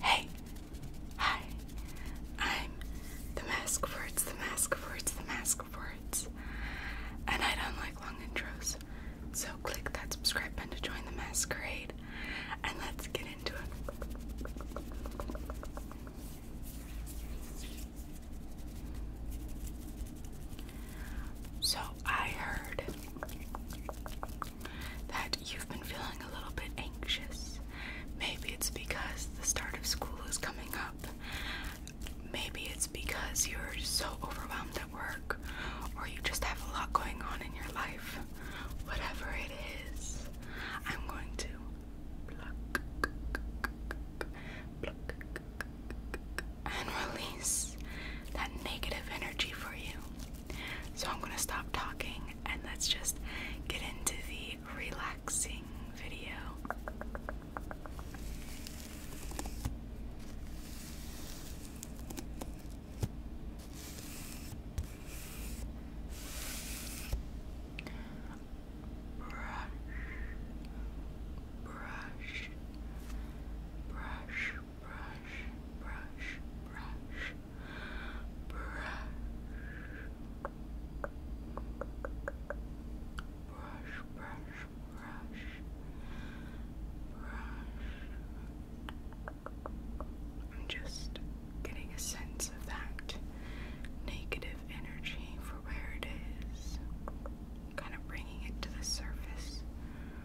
Hey, hi. I'm the Mask of Words, the Mask of Words, the Mask of Words. And I don't like long intros, so click that subscribe button to join the masquerade. And let's get into it. So I heard that you've been feeling a little bit anxious. Maybe it's because the start of school is coming up. Maybe it's because you're so overwhelmed at work or you just have a lot going on in your life. Whatever it is, I'm going to and release that negative energy for you. So I'm gonna stop talking and let's just get into the relaxing video. Brush, brush, brush, brush, brush, brush, brush, brush, brush, brush, brush. I'm just getting a sense of that negative energy for where it is, kind of bringing it to the surface. Brush,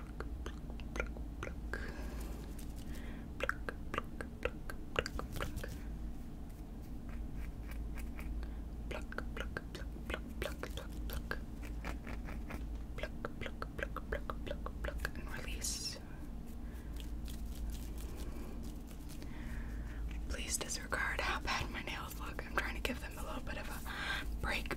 pluck, pluck, pluck. Pluck, pluck, pluck, pluck, pluck. Pluck, pluck, pluck, pluck, pluck, pluck, pluck. Pluck, pluck, pluck, pluck, pluck, pluck, and release. Please disregard how bad my nails look. I'm trying to give them a little bit of a break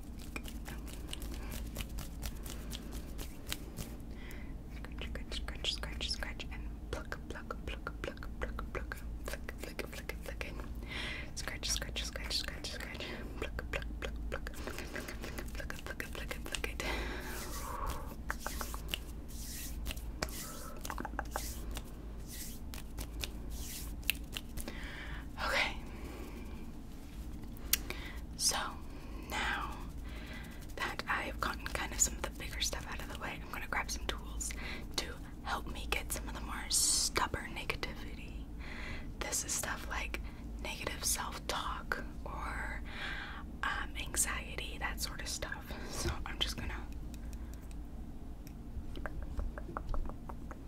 Scratch, scratch, scratch, scratch, and pluck, pluck, pluck, pluck, pluck, pluck, flick, flick, flick, flick, and scratch, scratch, scratch, scratch, scratch, pluck, pluck, pluck, pluck, pluck, pluck, pluck, pluck, pluck, pluck it. Okay. So now that I've gotten kind of some of the bigger stuff out of the way, I'm going to grab some tools to help me get some of the more stubborn negativity. This is stuff like negative self talk or um, anxiety, that sort of stuff. So I'm just going to.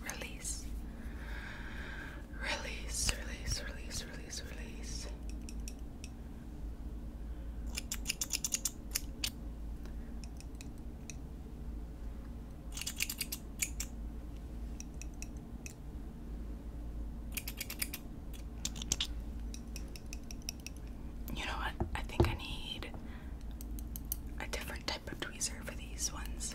Release. Release, release, release, release, release. You know what? I think I need a different type of tweezer for these ones.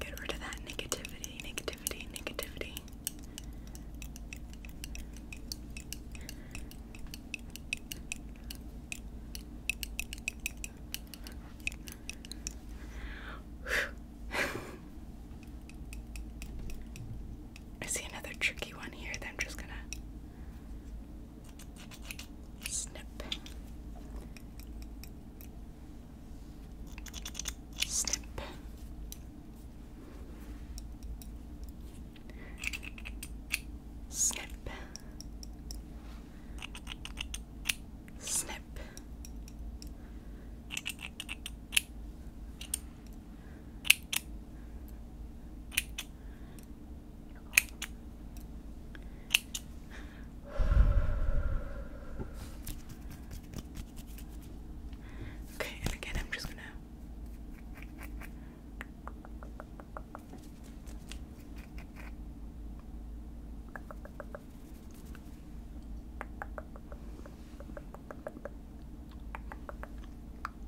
Get rid of that negativity, negativity, negativity. I see another tricky one here that I'm just gonna snip. Snip. Snip. Snip. Okay, and again, I'm just gonna.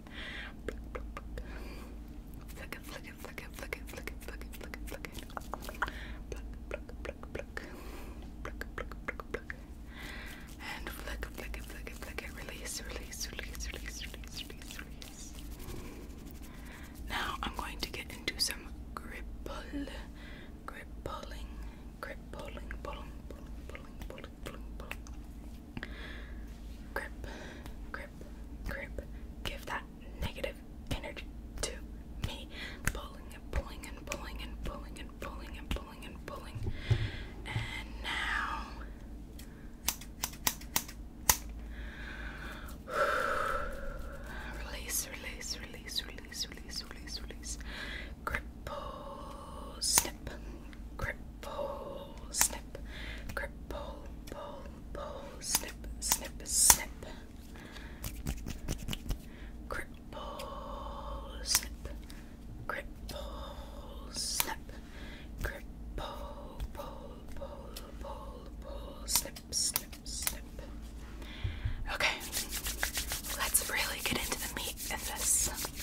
Flick it, flick it, flick it, flick it, flick it, flick it, flick it, flick it. Pluck, pluck, pluck, pluck. Pluck, pluck, pluck, pluck. And flick, flick it, flick it, flick it. Release, release, release, release, release, release, release. Now I'm going to get into some grip pull. Grip pulling, grip pulling, pulling, pulling, pulling, pulling, pulling, pulling. Grip, grip, grip. Give that negative energy to me. Pulling and pulling and pulling and pulling and pulling and pulling and pulling. And now. Release, release, release, release, release, release, release. Grip, Cripple, snip, cripple, snip, cripple, pull, pull, snip, snip, snip. Cripple, snip, cripple, snip, cripple, pull, pull, pull, pull, snip, snip, snip. Okay, let's really get into the meat of this.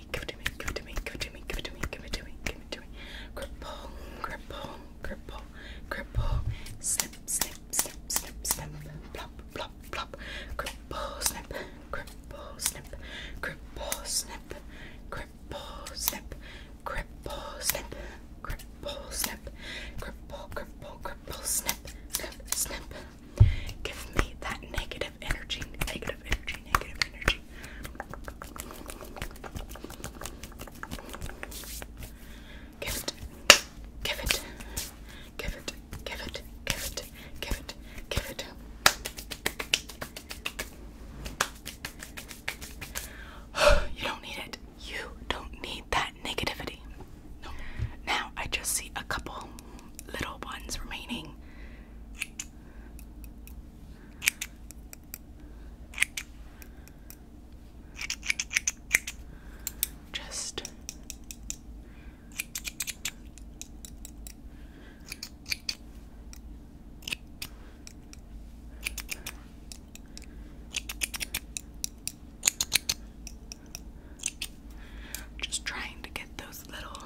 me, give it to me, give it to me, give it to me, give it to me, give it to me, give it to me. Cripple, cripple, cripple, cripple. Snip, snip, snip, snip, snip. Plop, plop, plop. Cripple, snip, cripple, snip, cripple, snip, cripple, snip, cripple, snip, cripple, snip, cripple, cripple, cripple, snip, snip, snip. Give me that negative energy. Negative Give it, give it, give it, give it, give it, give it, give it. you don't need it. You don't need that negativity. No. Now I just see a couple little ones remaining. Just just trying to get those little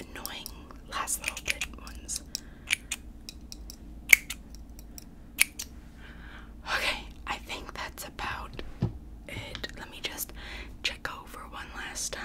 annoying last little bit ones. Okay, I think that's about it. Let me just check over one last time.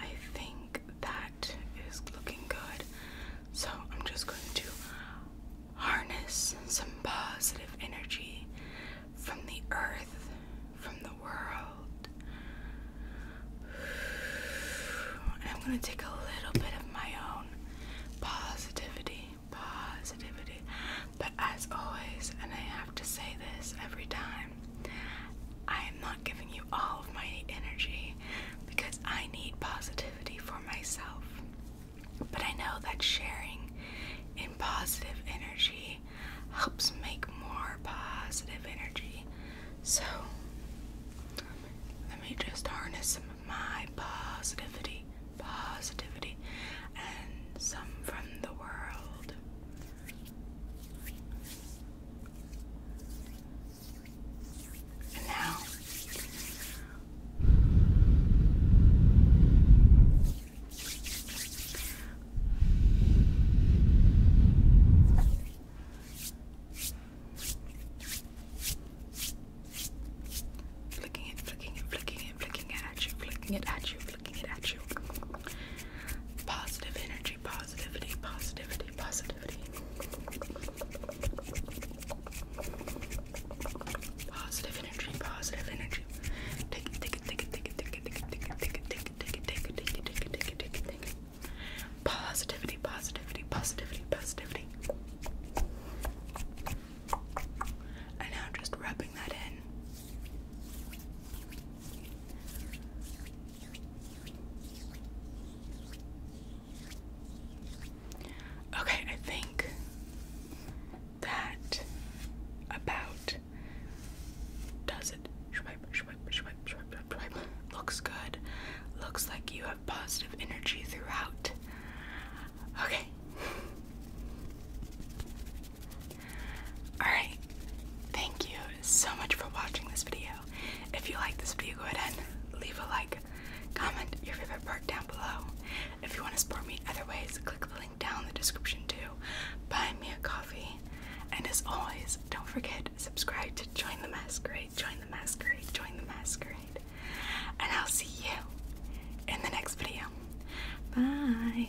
I think that is looking good. So I'm just going to harness some positive energy from the earth, from the world. And I'm going to take a little bit of my own positivity, positivity. But as always, and I have to say this every time, I am not giving you all of my energy because I need positivity for myself. But I know that sharing in positive energy helps make more positive energy. So let me just harness some of my positivity, positivity, and some from the world. And now flicking it, flicking it, flicking it, flicking it at you, flicking it at you, flicking it at you. Positive energy energy, positivity, positivity, positivity. Positive energy, positive energy. Take it, take it, take it, take it, take it, take it, take it, take it, take it, take it, take it, take it, take it, take it, take it. Positivity, positivity, positivity, positivity. And now just rubbing that in. Okay, I think that about does it. Looks good. Looks like you have positive energy throughout. Okay. Alright. Thank you so much for watching this video. If you like this video, go ahead and leave a like, comment your favorite part down below. If you want to support me other ways, click the link down in the description too. Buy me a coffee. And as always, don't forget, subscribe to Join the Masquerade, Join the Masquerade, Join the Masquerade. And I'll see you in the next video. Bye.